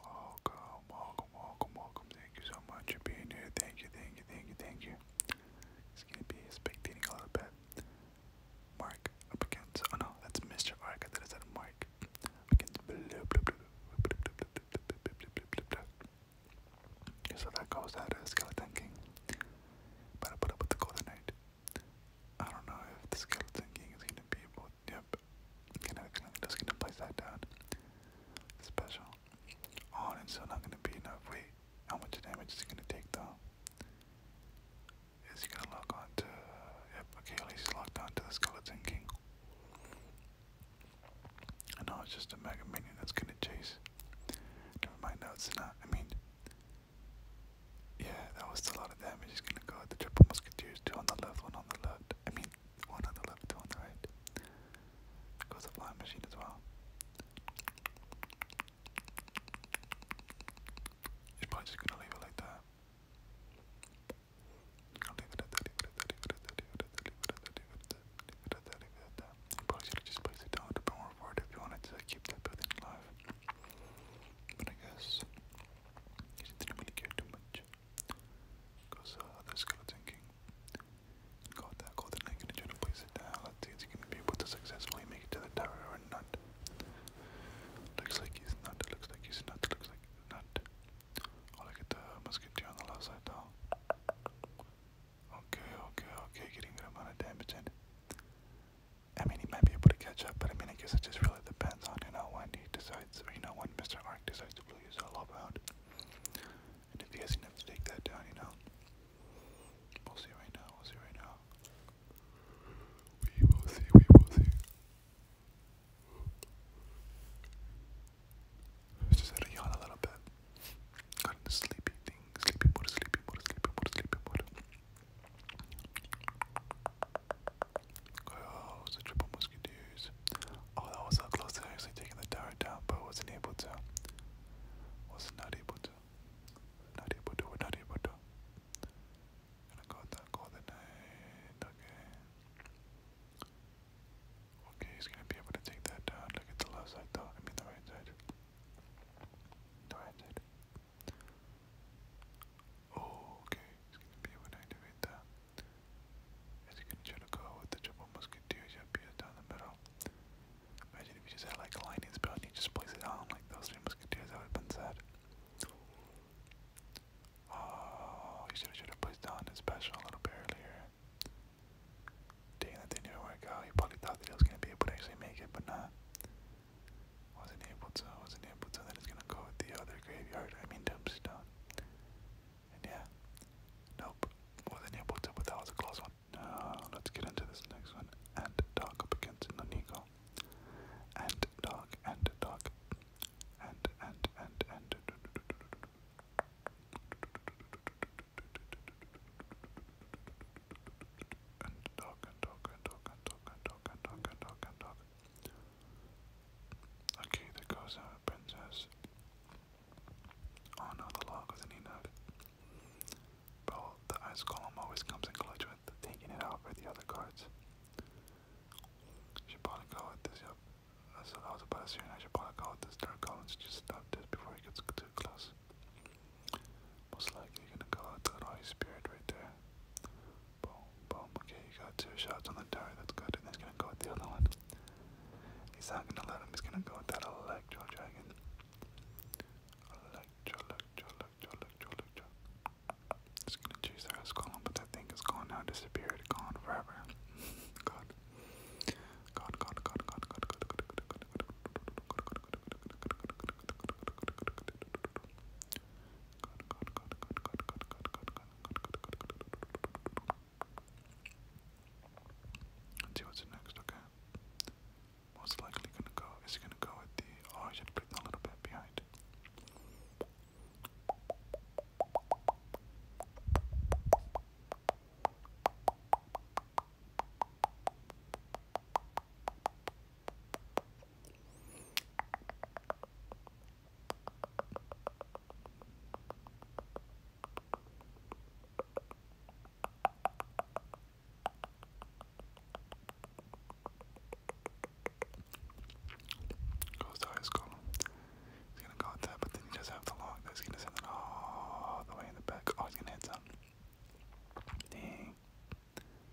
Welcome, welcome, welcome, welcome. Thank you so much for being here. Thank you, thank you, thank you, thank you. It's gonna be spectating a little bit. Mark up against oh no, that's Mr. Ark. I thought I said Mark. Up against blue blue blue. So that goes out of Skeleton King. But I put up with the Golden Knight. I don't know if the Skeleton King is gonna be able Yep. Can just gonna place that down. Special. Oh, and so not gonna be enough. Wait, how much damage is he gonna take though? Is he gonna lock on to? Yep. Okay, he's locked on to the Skeleton King. And now it's just a Mega Minion that's gonna chase. Never mind. No, it's not. I mean. Yeah, that was a lot of damage. He's gonna go at the triple musketeers, two on the left, one on the left. I mean, one on the left, two on the right. Goes the flying machine as well. You're probably just going leave it like that. I'll leave it at that, leave it at that, leave it at that, leave it at that, leave it at that, leave it at that, leave it at that, leave it at that. You probably should have just placed it down a bit more forward if you wanted to keep that building alive. But I guess you didn't really care too much. Because uh, the Skeleton King got that golden in the general place it down. Let's see if going to be able to successfully make it to the tower or not. Looks like he's not, looks like he's not, looks like he's not. Oh, look at the musketeer on the left side though. Okay, okay, okay, getting good amount of damage in. I mean, he might be able to catch up, but I mean, I guess it just really depends on, you know, when he decides, or, you know, when Mr. Ark decides blue is all about. And if you guys has enough to take that down, you know. We'll see right now, we'll see right now. We will see, we will see. just had to yawn a little bit. Got into sleepy Sleepy water, sleepy water, sleepy water, sleepy water. Oh, it was a triple musketeers. Oh, that was so close to actually taking the tower down, but wasn't able to. Was not able to. Not able to, not able to. Gonna go with that goal tonight. Okay. Okay, he's gonna be able to take that down. Look at the left side though. I mean the right side. The right side. Oh, okay. He's going to be able to activate that. Is he going to try to go with the triple musketeers? Yep, he down the middle. Imagine if he just had like a lightning spell and he just plays it on like those three musketeers. That would have been Oh, he should have should down his special a little bit earlier. Dang, that didn't even work out. He probably thought that he was gonna be able to actually make it, but not. wasn't able to. Wasn't able to. Then he's gonna go with the other graveyard. I mean, dumpstone. And yeah, nope, wasn't able to, but that was a close one. Uh, let's get into this next one. And dog up against Nonigo. And dog, and dog. And, and, and, and. And dog, and dog, and dog, and dog, and dog, and dog, and dog, and dog. Okay, that goes out, princess. Oh no, the log was an nut. Well, the ice column always comes in clutch with taking it out for the other cards. Should probably go with this, yep. Uh, so that was here, I should probably go with this dark column to just stop this before it gets too close. Most likely, gonna go with that ice spirit right there. Boom, boom. Okay, you got two shots on the tower. That's good. And he's gonna go with the other one. He's not gonna let him. He's gonna go with that Electro Dragon. Electro, Electro, Electro, Electro, Electro. Just gonna choose the rest column, but that thing is gone now. Disappeared. Gone forever. God. God, God, God, God, God, God, God, God, God, God, God. God, God, God, let see what's next, okay? Most likely gonna go, is gonna go with the, oh, you should put a little bit behind. Goes to high school. He's gonna go with but then he doesn't have to log this. He doesn't have to all the way in the back. Oh, he's gonna hit some. Dang.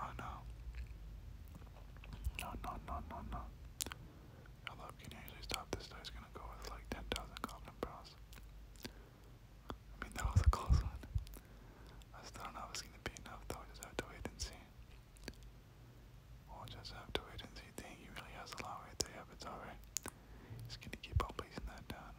Oh no. No, no, no, no, no. Hello, can you actually stop this? There's gonna go with like 10,000 goblin pearls. I mean, that was a close one. I still don't know if it's gonna be enough though, we'll just have to wait and see. We'll just have to wait and see. Dang, he really has a lot right there, yeah, but it's alright. He's gonna keep on placing that down.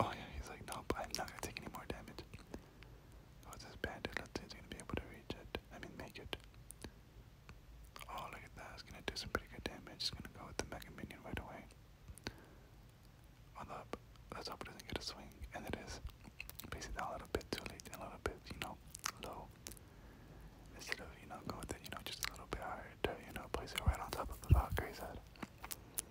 Oh yeah, he's like, nope, I'm not gonna take any more damage. Oh, this bandit, let's see if he's gonna be able to reach it. I mean, make it. Oh, look at that, it's gonna do some pretty good damage. It's gonna go with the Mega Minion right away. Although, let's hope it doesn't get a swing, and it is. Basically, a little bit too late and a little bit, you know, low. Instead of, you know, go with it, you know, just a little bit higher to, you know, place it right on top of the Valkyrie's head.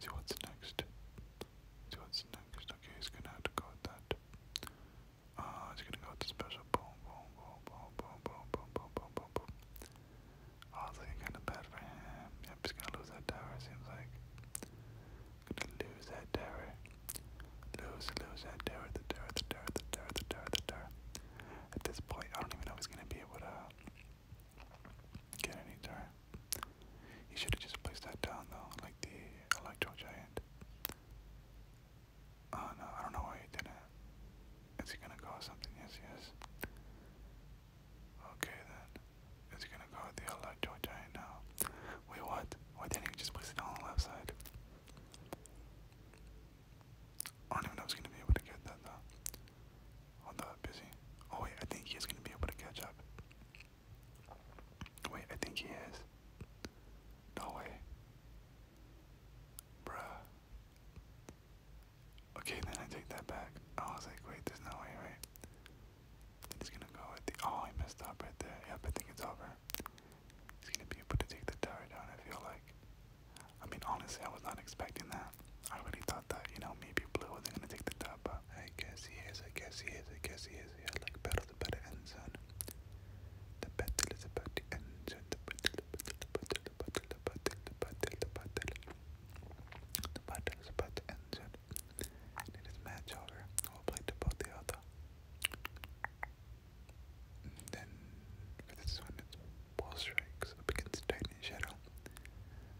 See what's next. See what's next. Okay, he's gonna have to go with that. Uh, he's gonna go with the special. Boom, boom, boom, boom, boom, boom, boom, boom, boom, boom, boom. Oh, it's kind of bad for him. he's gonna lose that tower, it seems like. Gonna lose that tower. Lose, lose that tower, the tower, the tower, the tower, the tower, the tower. At this point, I don't even know he's gonna be able to. Get any time. He should have just placed that down though, like the Electro Giant. Oh no, I don't know why he didn't. Is he gonna go something? Yes, he Okay then. Is he gonna go the Electro Giant now? Wait, what? Why didn't he just place it on the left side? I don't even know if he's gonna be able to get that though. Although busy. Oh wait, I think he is gonna be able to catch up. Wait, I think he is. No way. Bruh. Okay, then I take that back. I was like, wait, there's no way, right? He's gonna go at the. Oh, he messed up right there. Yep, I think it's over. He's gonna be able to take the tower down, I feel like. I mean, honestly, I was not expecting that that. I really thought that, you know, maybe Blue wasn't gonna take the top, but I guess he is, I guess he is, I guess he is. Yeah, like better the better end zone. The battle is about to end zone. The battle, the battle, the battle, the battle, the battle, the battle. The battle is about to end zone. And it is match over. We'll play to both the other. And then for this one it's Ball Strikes up against Titan Shadow.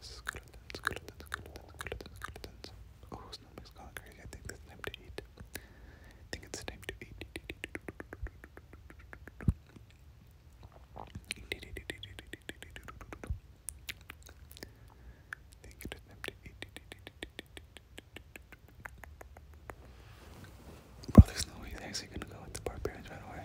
Skeletons, skeletons, Oh, Snowman's crazy. I think it's time to eat. I think it is time to eat. Bro, there's no way he's actually gonna go with the barbarians right away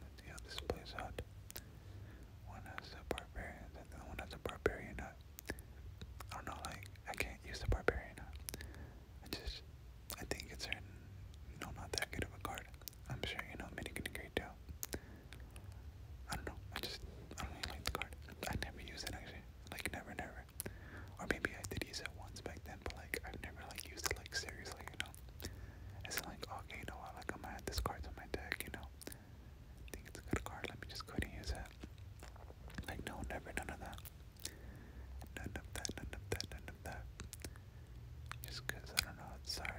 Let's see how this plays out. One has a barbarian, and the one has a barbarian I uh, don't oh know, like, I can't use the barbarian uh, I just, I think it's certain, no, not that good of a card. I'm sure you know many can agree too. I don't know, I just, I don't really like the card. I never use it actually, like, never, never. Or maybe I did use it once back then, but like, I've never, like, used it, like, seriously, you know? It's like, okay, you know like I'm gonna add this card to my deck, you know. I think it's a good card, let me just go ahead and use it. Like, no, never, none of that. None of that, none of that, none of that. Just because, I don't know, sorry.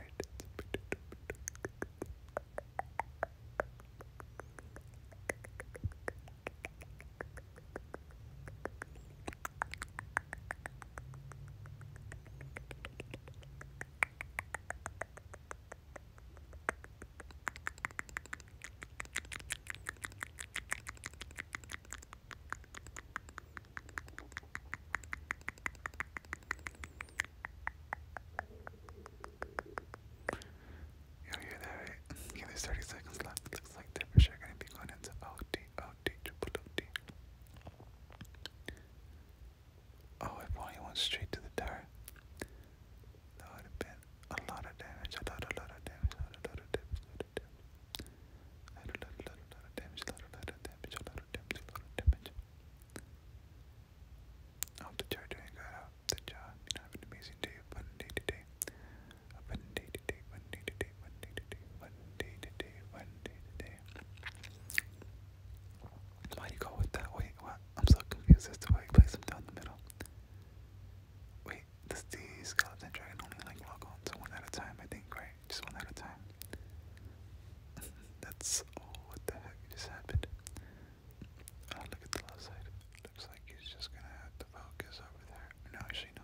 You'll hear Okay, there's 30 seconds left. Looks like they're sure gonna be going into OT, D, triple O D. Oh, if only went straight to the tower. That would have been a lot of damage, a lot, a lot of damage, a lot, a lot of damage, a lot of lot, a lot, a lot, a lot of damage, a lot, of lot of damage, a lot of damage. I hope that you're doing good. have an amazing day, fun day today. Fun day today, fun day today, fun day today, fun day today, fun day today, why do you go with that? Wait, what? I'm so confused as to why you place them down the middle. Wait, does the skeleton dragon only like log on to one at a time? I think, right? Just one at a time. That's all. Oh, what the heck just happened? Oh, look at the left side. Looks like he's just gonna have to focus over there. No, actually, no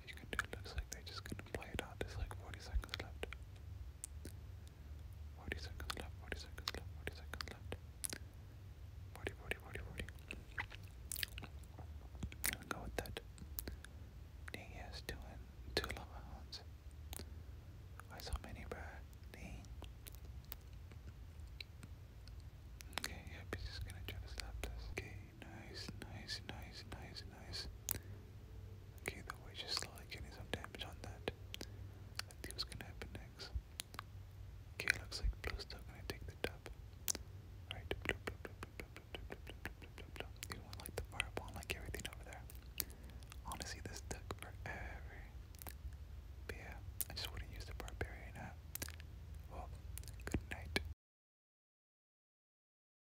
like you can do. It looks they just gonna play it out. There's like 40 seconds left. 40 seconds left, 40 seconds left, 40 seconds left. 40, 40, 40, 40. i go with that. Dang, he has two, in, two lava hounds. Why so many, bruh? Dang. Okay, yep, he's just gonna try to stop this. Okay, nice, nice, nice, nice, nice. Okay, that way just slowly getting some damage on that. I think what's gonna happen next. Okay, looks like blue's still gonna take the top. Alright, blue, blue, blue, blue, blue, blue, blue, blue, blue, blue, blue, blue. You want like the fireball, like everything over there. Honestly, this took forever. But yeah, I just wouldn't use the barbarian app. Well, good night.